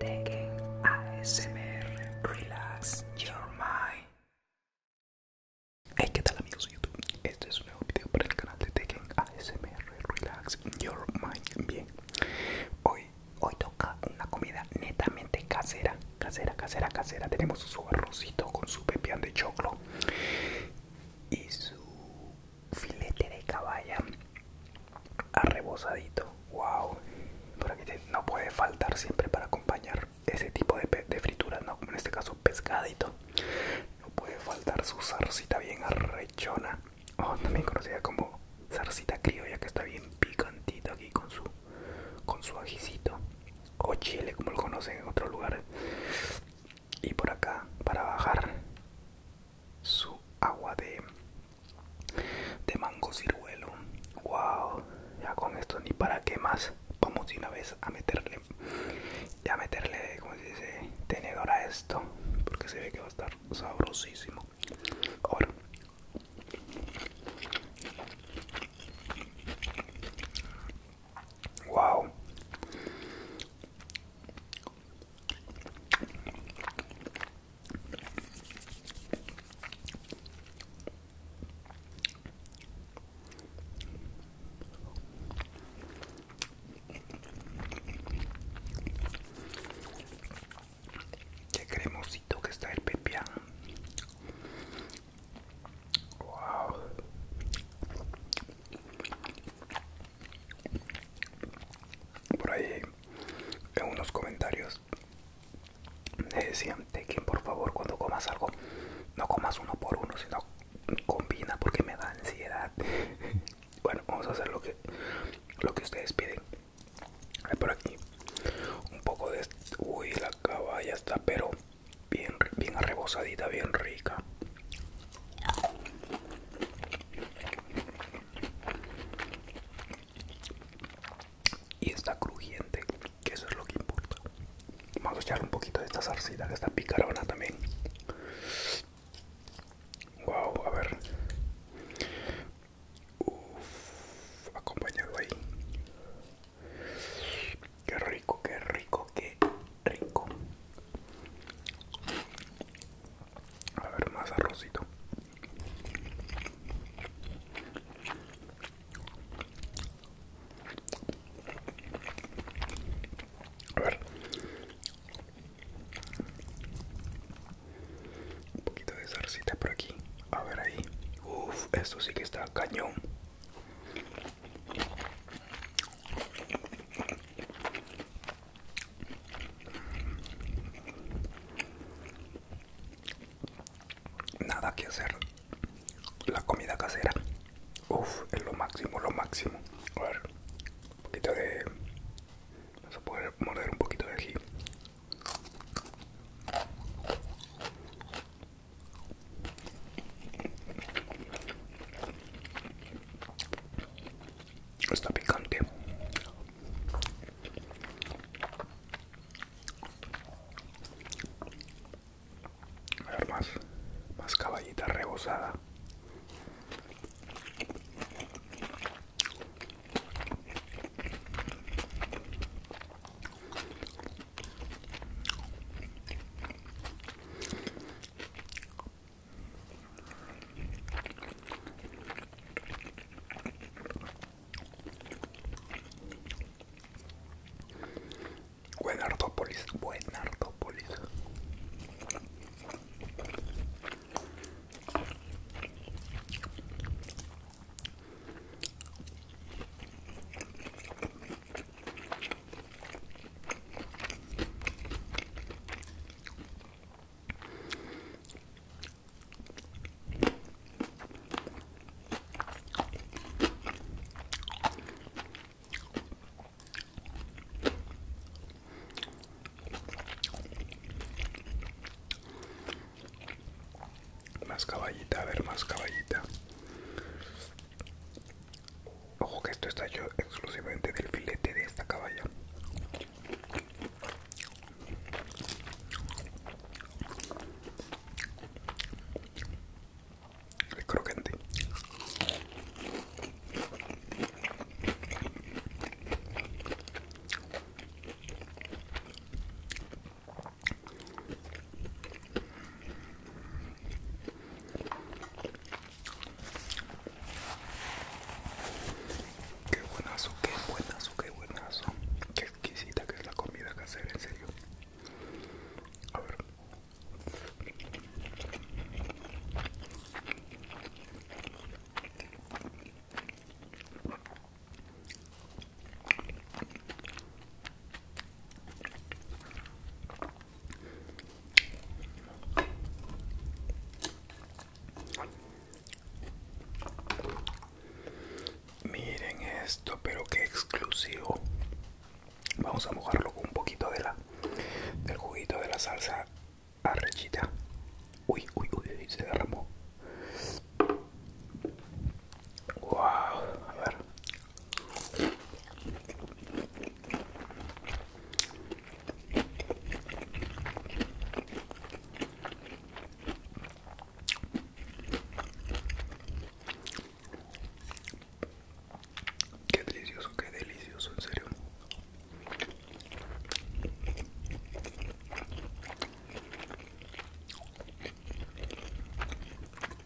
Tekken ASMR Relax Your Mind. Hey, ¿qué tal amigos de YouTube? Este es un nuevo video para el canal de Tekken ASMR Relax Your Mind. Bien, hoy, hoy toca una comida netamente casera, casera, casera, casera. Tenemos su arrocito con su pepian de choclo y su filete de caballa arrebosadito. Wow, por aquí no puede faltar siempre para acompañar ese tipo de, de frituras, ¿no? como en este caso pescadito. No puede faltar su zarcita bien arrechona, oh, también conocida como zarcita criolla, que está bien picantito aquí con su, con su ajicito o chile, como lo conocen en otro lugar y por acá para bajar su agua de de mango ciruelo wow ya con esto ni para qué más vamos de una vez a meterle a meterle como se dice tenedor a esto porque se ve que va a estar sabrosísimo ahora wow Qué cremosito que está el pepián. Wow por ahí en unos comentarios me decían de que por favor cuando comas algo no comas uno por uno sino combina porque me da ansiedad bueno vamos a hacer lo que lo que ustedes piden por aquí un poco de uy la caballa está pero bien bien arrebosadita bien rica y está crujiente, que eso es lo que importa. Vamos a echar un poquito de esta zarcita que está picarona también. Wow, a ver. Uff, acompañado ahí. Qué rico, qué rico, qué rico. A ver, más arrocito. A ver. Un poquito de zarcita por aquí. A ver ahí. Uf, esto sí que está cañón. Nada que hacer. La comida casera. Uff, es lo máximo, lo máximo. A ver, un poquito de... Vamos a poder morder un poquito de ají. Está picante. más, más caballita rebosada. Buenartópolis, artópolis más caballita, a ver, más caballita. Ojo que esto está hecho exclusivamente del filete de esta caballa. El Qué buenazo, qué buenazo, qué buenazo. Qué exquisita que es la comida casera, en serio. A ver. Miren esto, pero qué exclusivo. Vamos a mojarlo con un poquito de la del juguito de la salsa arrechita. Uy, uy, uy, se derramó. Wow, a ver. Qué delicioso, qué delicioso, en serio.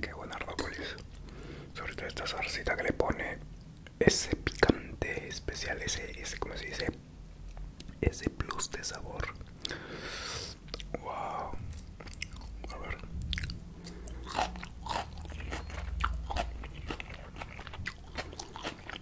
Qué buena ardópolis. Sobre todo esta salsita que le pone ese picante especial, ese, ese como se dice, ese plus de sabor. Wow. A ver.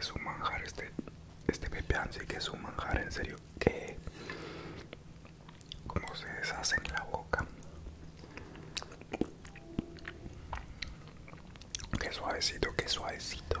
Es un manjar este, este pepeán sí que es un manjar en serio que como se deshace en la boca Qué suavecito, qué suavecito.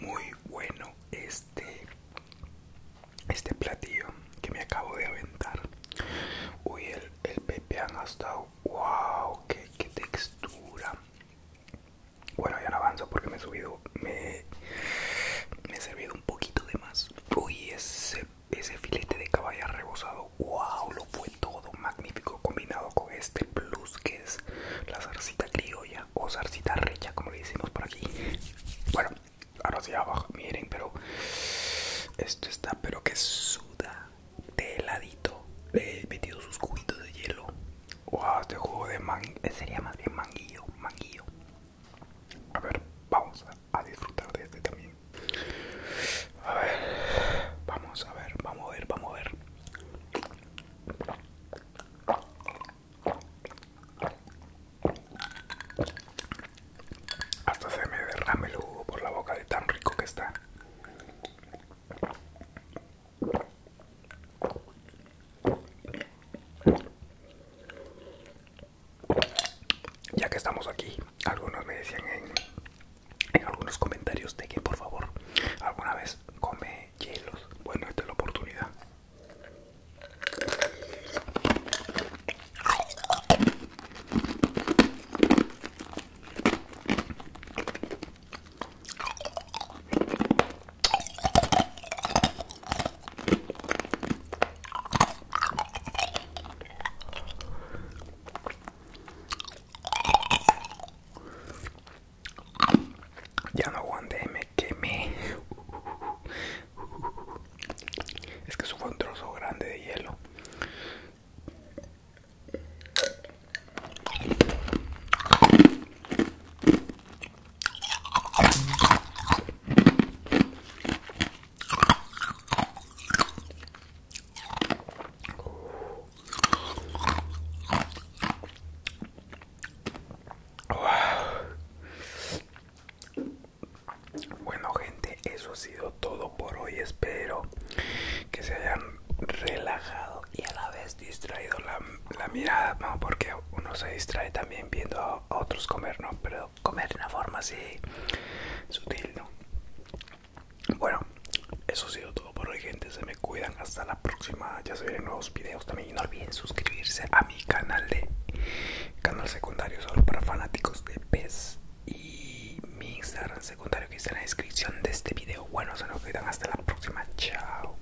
Muy bueno este este platillo que me acabo de aventar. Uy, el, pepe han ha wow, qué, textura. Bueno, ya no avanzo porque me he subido, me, me he servido un poquito de más. Uy, ese, ese filete de caballo rebozado, wow, fue todo magnífico combinado con este plus que es la zarcita criolla o zarcita recha como le decimos por aquí bueno ahora hacia abajo miren pero esto está pero que suda de heladito le he metido sus cubitos de hielo wow este jugo de man eh, sería más bien manguillo manguillo a ver vamos a disfrutar de este también a ver, vamos a ver, vamos a ver, vamos a ver. Hasta se me derrame el jugo por la boca de tan rico que está. Ya que estamos aquí, algunos me decían en en algunos comentarios de que por favor alguna vez come hielos. Bueno, esta es la oportunidad. Ya no aguante, me quemé. Es que eso fue un trozo grande de hielo. Bueno gente, eso ha sido todo por hoy. Espero que se hayan relajado y a la vez distraído la, mirada, porque uno se distrae también viendo a, otros comer, ¿no? Pero comer de una forma así sutil, ¿no? Bueno, eso ha sido todo por hoy, gente. Se me cuidan. Hasta la próxima. Ya se vienen nuevos videos también. Y no olviden suscribirse a mi canal de canal secundario solo para fanáticos de pez. Y mi Instagram secundario que está en la descripción de este video. Bueno, se me cuidan. Hasta la próxima. Chao.